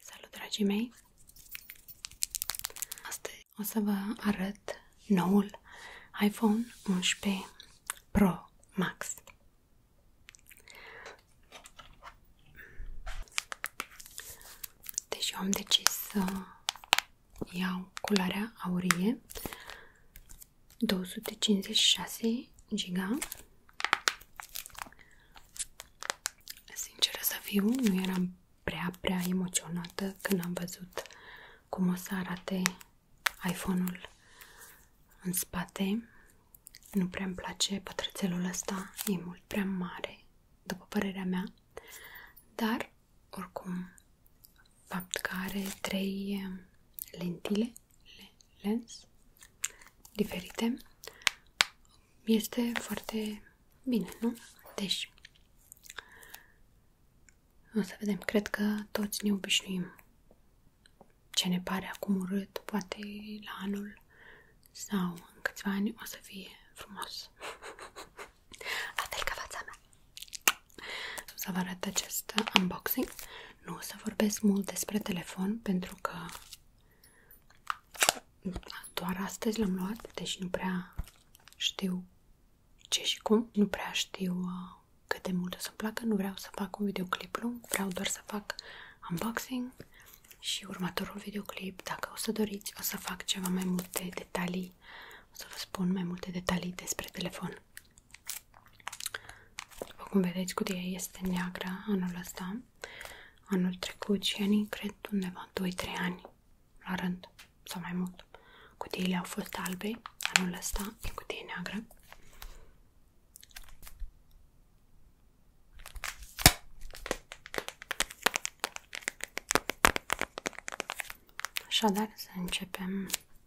Salut, dragii mei! Astăzi o să vă arăt noul iPhone 11 Pro Max. Deci eu am decis să iau culoarea aurie 256 giga Sinceră să fiu, nu eram prea, prea emoționată când am văzut cum o să arate iPhone-ul în spate. Nu prea îmi place pătrățelul ăsta, e mult prea mare, după părerea mea, dar, oricum, fapt că are trei lentile lens diferite, este foarte bine, nu? Deci, o să vedem, cred că toți ne obișnuim ce ne pare acum urât, poate la anul sau în câțiva ani o să fie frumos. La fel mea să vă arăt acest unboxing. Nu o să vorbesc mult despre telefon pentru că doar astăzi l-am luat, deci nu prea știu ce și cum, nu prea știu uh, cât de mult o să-mi placă, nu vreau să fac un videoclip lung, vreau doar să fac unboxing și următorul videoclip, dacă o să doriți, o să fac ceva mai multe detalii, o să vă spun mai multe detalii despre telefon. După cum vedeți, cutia este neagră anul ăsta, anul trecut și anii, cred, undeva 2-3 ani la rând sau mai mult. Cutiile au fost albe, anul ăsta e cutie neagră. Așadar, să începem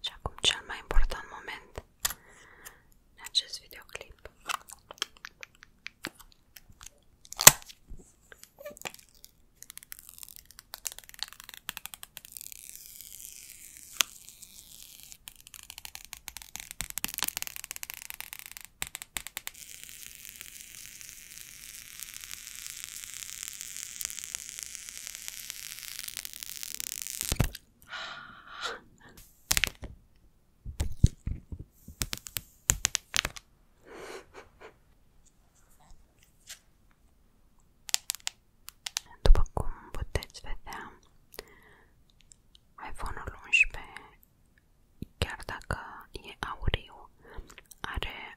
Și acum cel mai important moment în acest videoclip. După cum puteți vedea, iPhone-ul 11, chiar dacă e auriu, are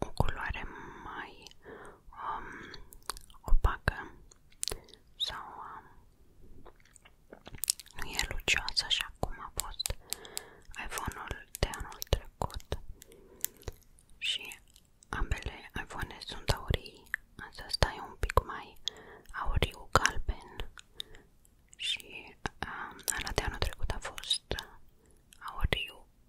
o culoare mai um, opacă sau um, nu e lucioasă așa cum a fost iPhone-ul de anul trecut și ambele iPhone sunt aurii, însă ăsta e un pic mai auriu galben și um, ăla de anul trecut a fost uh, auriu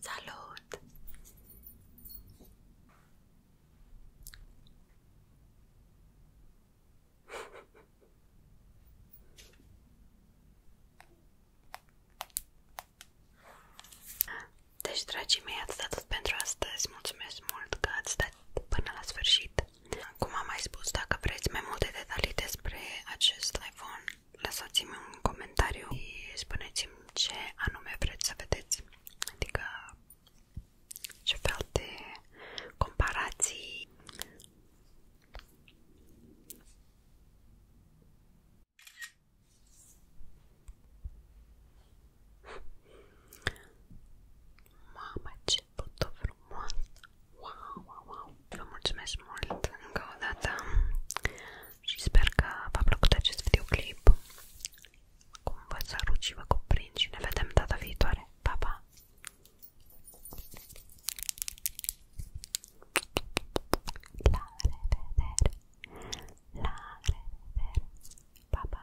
Salut! Deci, dragii mei, ați atât, tot pentru astăzi. Mulțumesc mult că ați stat până la sfârșit. Cum am mai spus, dacă vreți mai multe detalii despre acest iPhone, lăsați-mi un comentariu și spuneți-mi ce anume vreți să vedeți, adică ce fel de comparații. Mamă, ce început tot frumos. Wow, wow, wow! Vă mulțumesc mult încă o dată și sper că v-a plăcut acest videoclip. Cum vă salut și vă cuprind și ne vedem data viitoare. Pa, pa! La revedere! La revedere! Pa, pa!